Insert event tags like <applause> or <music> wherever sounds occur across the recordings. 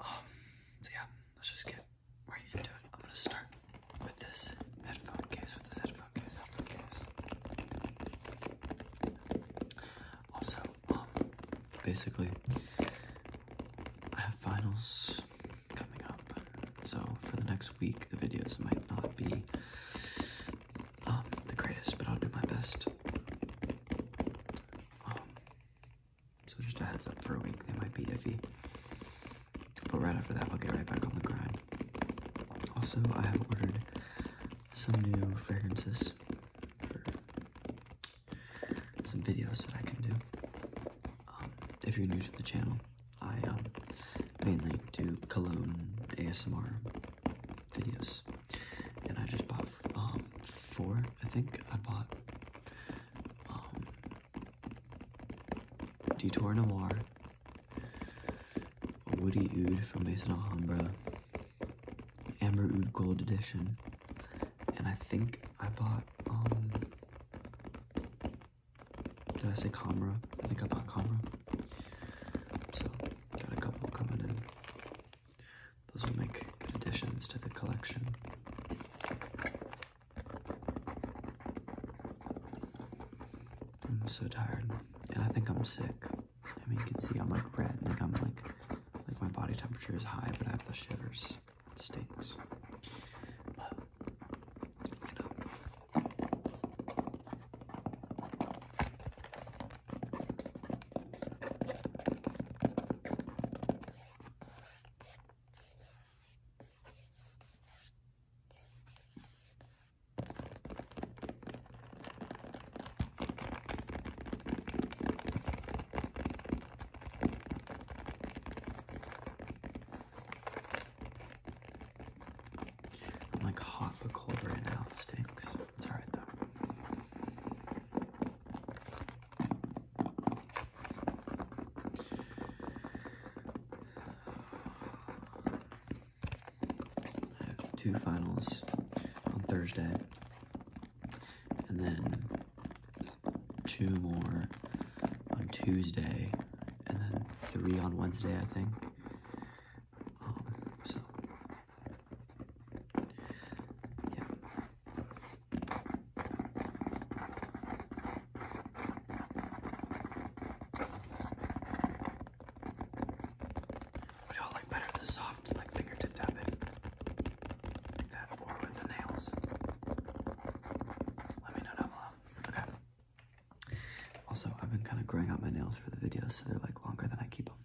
Um, so yeah, let's just get right into it. I'm gonna start with this headphone case, with this headphone case, Also, um, basically, I have finals coming up, so for the next week, the videos might not be um, the greatest, but I'll do my best. Um, so just a heads up for a week, they might be iffy. But right after that, we'll get right back on the grind. Also, I have ordered some new fragrances for some videos that I can do. Um, if you're new to the channel, I um, mainly do cologne ASMR videos and I just bought um four. I think I bought um Detour Noir, Woody Oud from Maison Alhambra, Amber Oud Gold Edition, and I think I bought um did I say Kamra? I think I bought Kamra. So got a couple coming in. Those will make good additions to the collection. I'm so tired, and I think I'm sick. I mean, you can see I'm like red, like I'm like, like my body temperature is high, but I have the shivers. It stinks. I'm like hot but cold right now. It stinks. It's alright though. I have two finals on Thursday, and then two more on Tuesday, and then three on Wednesday, I think. What do y'all like better, the soft like fingertip tapping, that, or with the nails? Let me know down below. Okay. Also, I've been kind of growing out my nails for the videos, so they're like longer than I keep them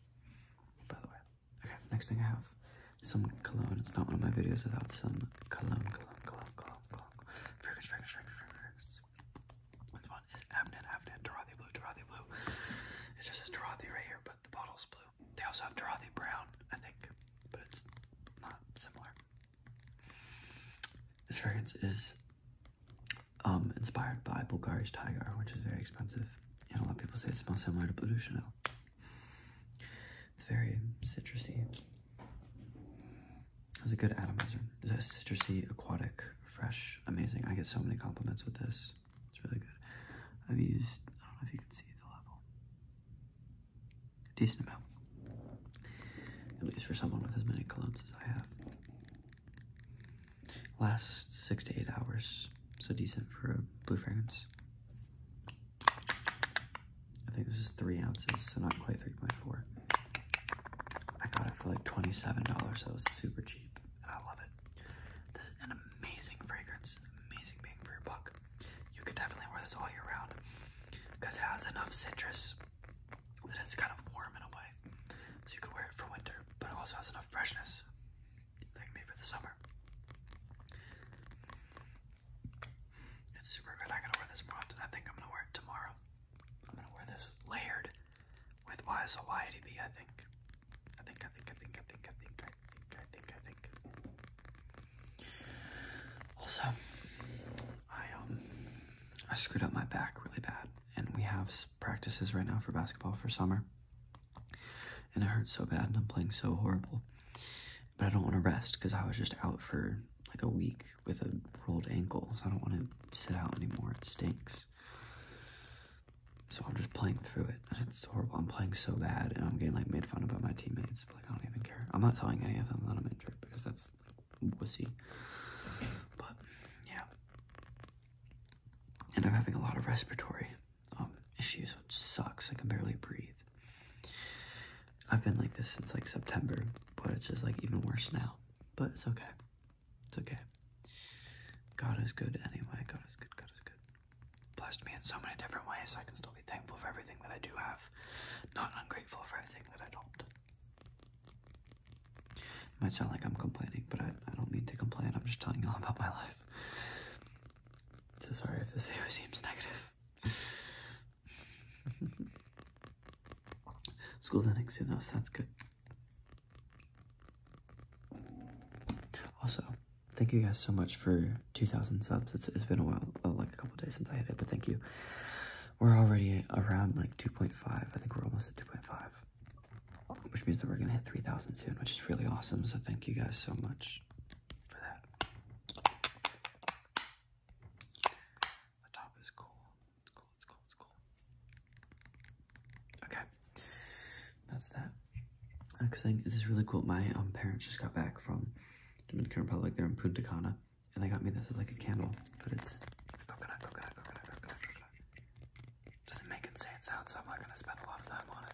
by the way. Okay, next thing I have some cologne. It's not one of my videos without some cologne, cologne, cologne, cologne, cologne. Fragrance, This one is Avnet, Avnet, Dorothy Blue, Dorothy Blue. It just says Dorothy right here, but the bottle's blue. They also have Dorothy Brown, I think, but it's not similar. This fragrance is um, inspired by Bulgari's Tiger, which is very expensive. And a lot of people say it smells similar to Blue de Chanel. It's very citrusy. It's a good atomizer. It's a citrusy, aquatic, fresh, amazing. I get so many compliments with this. It's really good. I've used, I don't know if you can see the level. A decent amount. At least for someone with as many colognes as I have. Last six to eight hours, so decent for a blue fragrance. I think this is three ounces, so not quite 3.4. I got it for like $27, so it's super cheap, and I love it. an amazing fragrance, amazing being for your buck. You can definitely wear this all year round, because it has enough citrus that it's kind of warm in a way. So you can wear it for winter, but it also has enough freshness that can for the summer. It's super good. I gotta wear this more often. I think I'm gonna wear it tomorrow. I'm gonna wear this layered with YSLYDB, I think. I think, I think, I think, I think, I think, I think, I think, I think. Also, I um I screwed up my back really bad and we have practices right now for basketball for summer. And it hurts so bad, and I'm playing so horrible. But I don't want to rest because I was just out for like a week with a rolled ankle, so I don't want to sit out anymore. It stinks. So I'm just playing through it, and it's horrible. I'm playing so bad, and I'm getting like made fun of by my teammates. Like I don't even care. I'm not telling any of them that I'm injured because that's wussy. But yeah, and I'm having a lot of respiratory um, issues, which sucks. I can barely breathe. I've been like this since like September, but it's just like even worse now. But it's okay. It's okay. God is good anyway. God is good. God is good. Blessed me in so many different ways. I can still be thankful for everything that I do have, not ungrateful for everything that I don't. It might sound like I'm complaining, but I, don't mean to complain. I'm just telling you all about my life. So sorry if this video <laughs> seems negative. <laughs> School ending you know, so that's good. Also, thank you guys so much for 2,000 subs. it's been a while, uh, like a couple days since I hit it, but thank you. We're already around like 2.5. I think we're almost at 2.5 which means that we're going to hit 3,000 soon, which is really awesome. So thank you guys so much for that. The top is cool. It's cool, it's cool, it's cool. Okay, that's that. Next thing, this is really cool. My um, parents just got back from Dominican Republic. They're in Punta Cana, and they got me this like a candle, but it's doesn't make insane sounds, so I'm not going to spend a lot of time on it.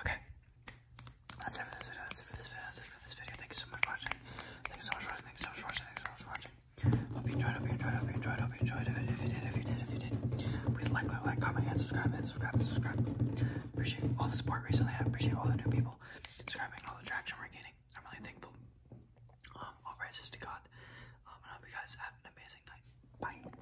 Okay, that's it for this video. That's it for this video. That's it for this video. Thank you so much for watching. Thank so much for watching. Thank so much for watching. Hope you enjoyed. Hope you enjoyed. Hope you enjoyed. Hope you enjoyed. If you did, if you did, if you did, please like, like, like, comment, and subscribe, and subscribe, subscribe. Appreciate all the support recently. I appreciate all the new people subscribing, all the traction we're gaining. I'm really thankful. Um, all praises to God. Um, I hope you guys have an amazing night. Bye.